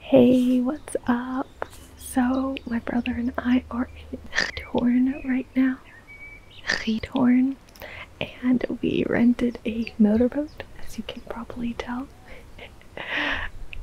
Hey, what's up? So, my brother and I are in Gitorn right now. Gitorn. And we rented a motorboat, as you can probably tell.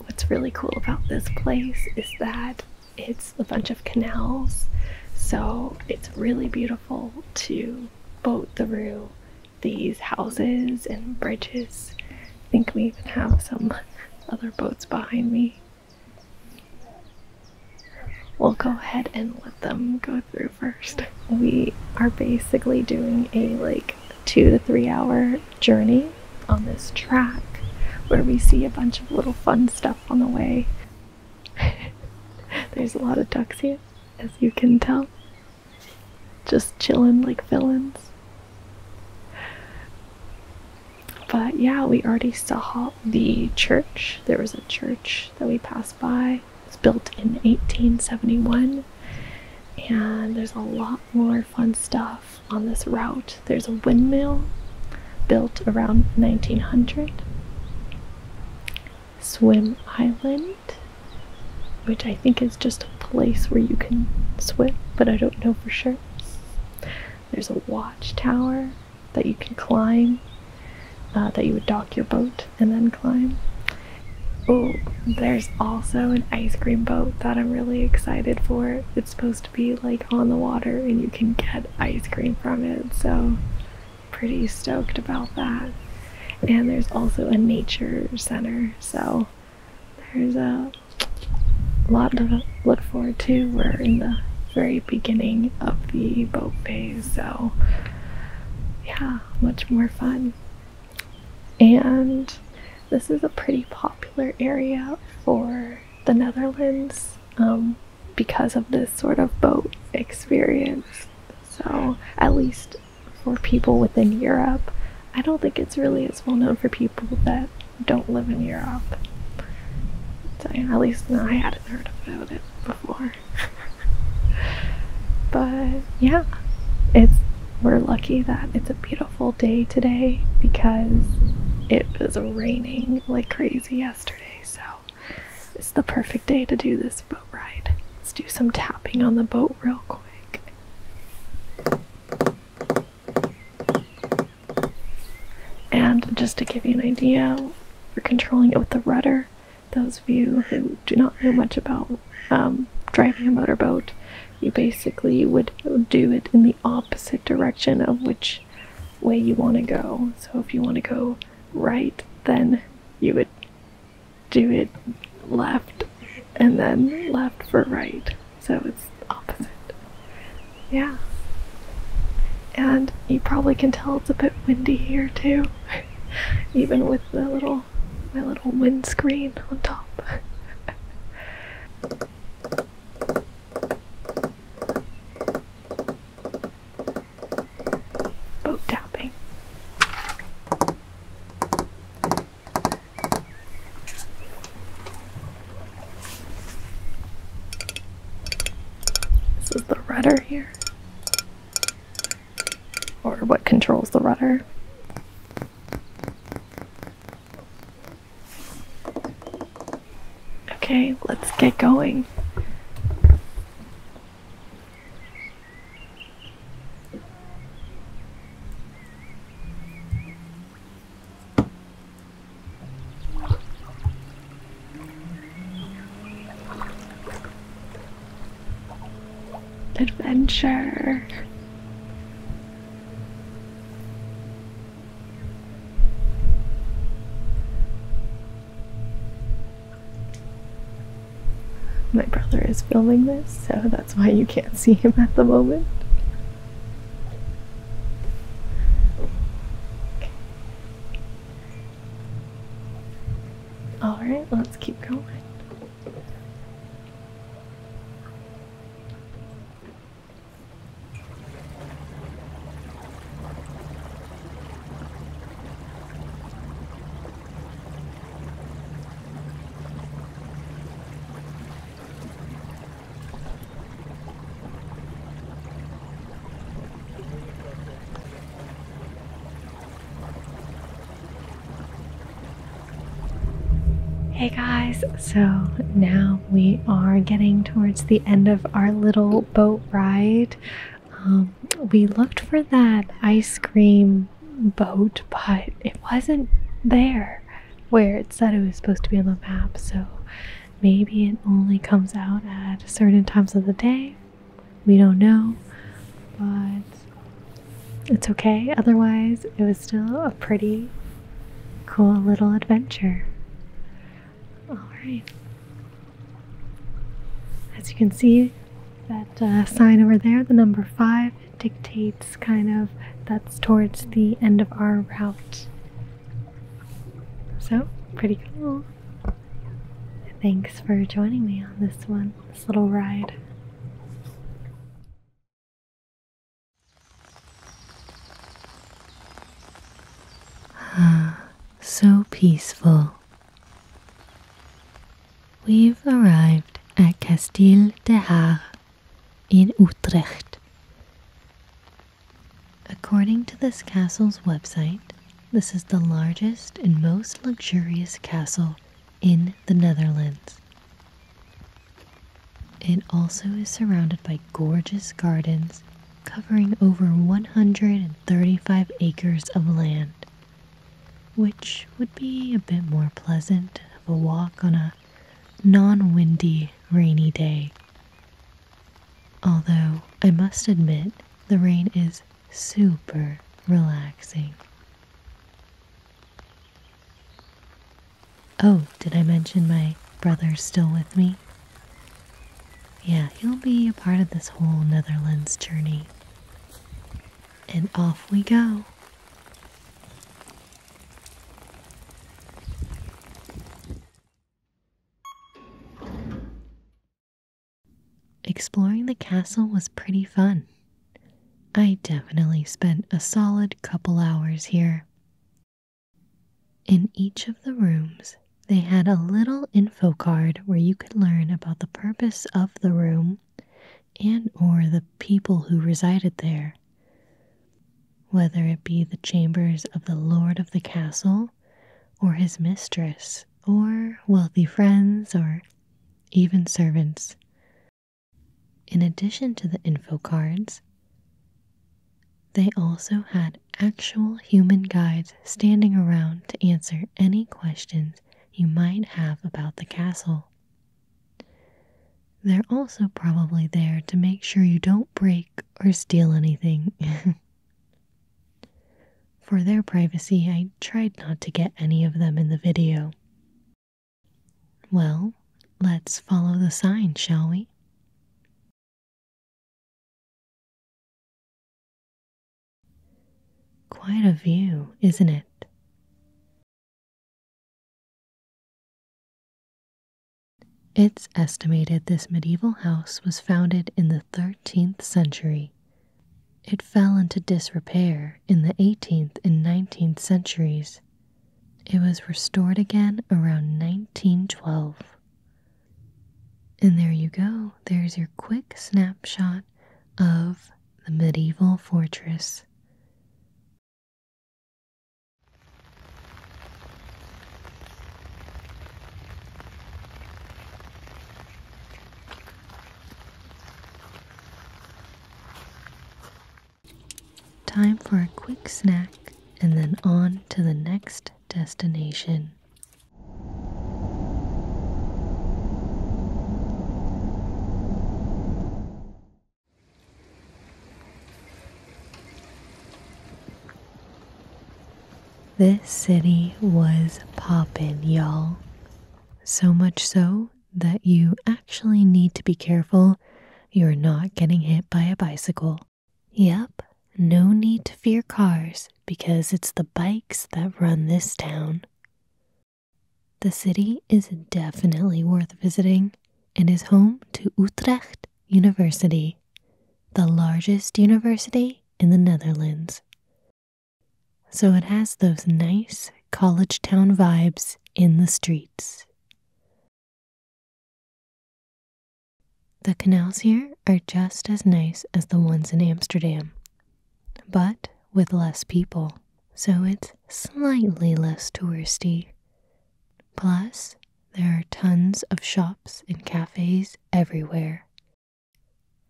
What's really cool about this place is that it's a bunch of canals, so it's really beautiful to boat through these houses and bridges. I think we even have some other boats behind me. We'll go ahead and let them go through first. We are basically doing a like two to three hour journey on this track where we see a bunch of little fun stuff on the way. There's a lot of ducks here, as you can tell just chilling like villains. But yeah, we already saw the church. There was a church that we passed by. It was built in 1871, and there's a lot more fun stuff on this route. There's a windmill built around 1900, Swim Island, which I think is just a place where you can swim, but I don't know for sure. There's a watchtower that you can climb, uh, that you would dock your boat and then climb. Oh, there's also an ice cream boat that I'm really excited for. It's supposed to be like on the water and you can get ice cream from it, so pretty stoked about that. And there's also a nature center, so there's a lot to look forward to. We're in the very beginning of the boat phase, so yeah, much more fun. And this is a pretty popular area for the Netherlands um, because of this sort of boat experience. So, at least for people within Europe. I don't think it's really as well known for people that don't live in Europe. at least I hadn't heard about it before. but yeah, it's we're lucky that it's a beautiful day today because it was raining like crazy yesterday. So it's the perfect day to do this boat ride. Let's do some tapping on the boat real quick. And just to give you an idea, for controlling it with the rudder. Those of you who do not know much about um, driving a motorboat, you basically would do it in the opposite direction of which way you want to go. So if you want to go right, then you would do it left and then left for right. So it's opposite. Yeah. And you probably can tell it's a bit windy here too. Even with the little my little windscreen on top. Boat tapping. This is the rudder here. Or what controls the rudder. Okay, let's get going. Adventure. My brother is filming this, so that's that's why you can't see him at the moment. All right, let's keep going. Hey guys, so now we are getting towards the end of our little boat ride. Um, we looked for that ice cream boat, but it wasn't there where it said it was supposed to be on the map. So maybe it only comes out at certain times of the day. We don't know, but it's okay. Otherwise, it was still a pretty cool little adventure. Alright. As you can see, that uh, sign over there, the number five, dictates kind of that's towards the end of our route. So, pretty cool. Thanks for joining me on this one, this little ride. Ah, so peaceful. We've arrived at Castile de Har in Utrecht. According to this castle's website, this is the largest and most luxurious castle in the Netherlands. It also is surrounded by gorgeous gardens covering over 135 acres of land, which would be a bit more pleasant of a walk on a non windy, rainy day. Although I must admit, the rain is super relaxing. Oh, did I mention my brother's still with me? Yeah, he'll be a part of this whole Netherlands journey. And off we go. Exploring the castle was pretty fun. I definitely spent a solid couple hours here. In each of the rooms, they had a little info card where you could learn about the purpose of the room and or the people who resided there whether it be the chambers of the lord of the castle, or his mistress, or wealthy friends, or even servants. In addition to the info cards, they also had actual human guides standing around to answer any questions you might have about the castle. They're also probably there to make sure you don't break or steal anything. For their privacy, I tried not to get any of them in the video. Well, let's follow the sign, shall we? Quite a view, isn't it? It's estimated this medieval house was founded in the 13th century. It fell into disrepair in the 18th and 19th centuries. It was restored again around 1912. And there you go, there's your quick snapshot of the medieval fortress. Time for a quick snack and then on to the next destination. This city was poppin', y'all. So much so that you actually need to be careful you're not getting hit by a bicycle. Yep, no need to fear cars because it's the bikes that run this town. The city is definitely worth visiting. Amsterdam and is home to Utrecht University, the largest university in the Netherlands. So it has those nice college town vibes in the streets. The canals here are just as nice as the ones in Amsterdam, but with less people, so it's slightly less touristy. Plus, there are tons of shops and cafes everywhere.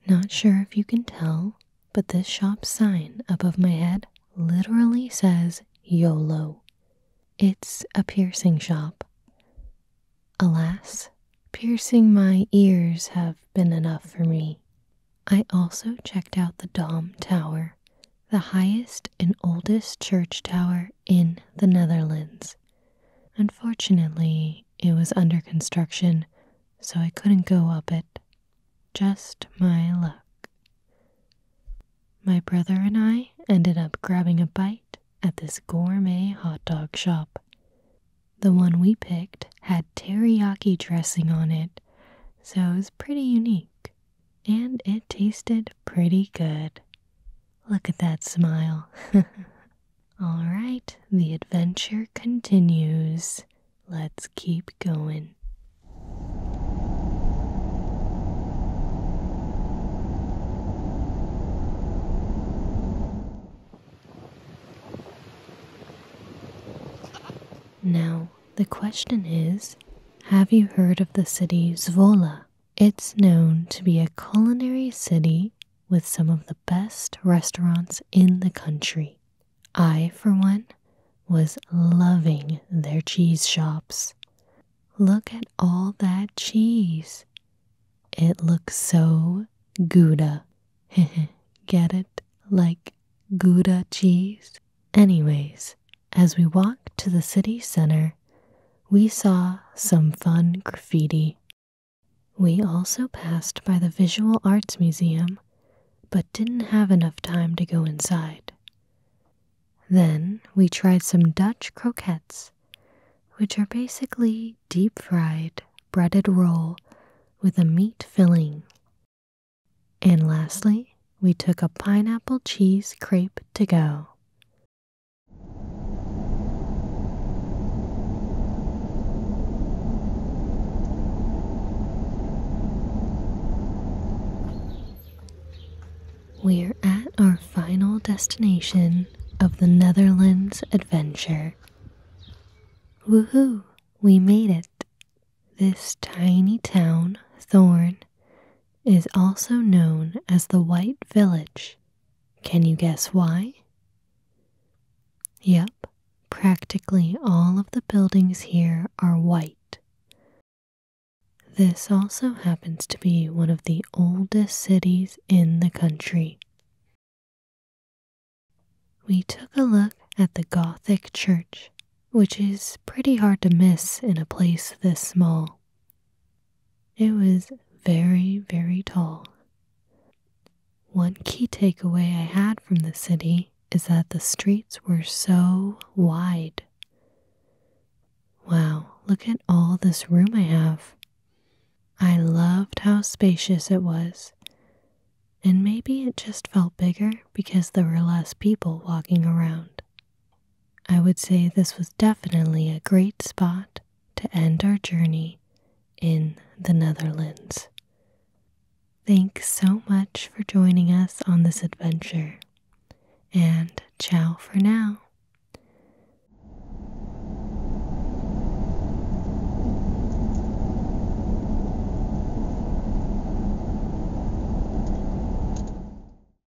Not sure if you can tell, but this shop sign above my head literally says YOLO. It's a piercing shop. Alas, piercing my ears have been enough for me. I also checked out the Dom Tower, the highest and oldest church tower in the Netherlands. Unfortunately, it was under construction, so I couldn't go up it. Just my luck. My brother and I ended up grabbing a bite at this gourmet hot dog shop. The one we picked had teriyaki dressing on it, so it was pretty unique and it tasted pretty good. Look at that smile. All right, the adventure continues. Let's keep going. Now, the question is Have you heard of the city Zvola? It's known to be a culinary city with some of the best restaurants in the country. I, for one, was loving their cheese shops. Look at all that cheese. It looks so Gouda. Get it? Like Gouda cheese? Anyways, as we walked to the city center, we saw some fun graffiti. We also passed by the Visual Arts Museum, but didn't have enough time to go inside. Then we tried some Dutch croquettes, which are basically deep fried, breaded roll with a meat filling. And lastly, we took a pineapple cheese crepe to go. We're at our final destination of the Netherlands adventure. Woohoo! We made it! This tiny town, Thorn, is also known as the White Village. Can you guess why? Yep, practically all of the buildings here are white. This also happens to be one of the oldest cities in the country. We took a look at the Gothic church, which is pretty hard to miss in a place this small. It was very, very tall. One key takeaway I had from the city is that the streets were so wide. Wow, look at all this room I have. I loved how spacious it was. And maybe it just felt bigger because there were less people walking around. I would say this was definitely a great spot to end our journey in the Netherlands. Thanks so much for joining us on this adventure, and ciao for now.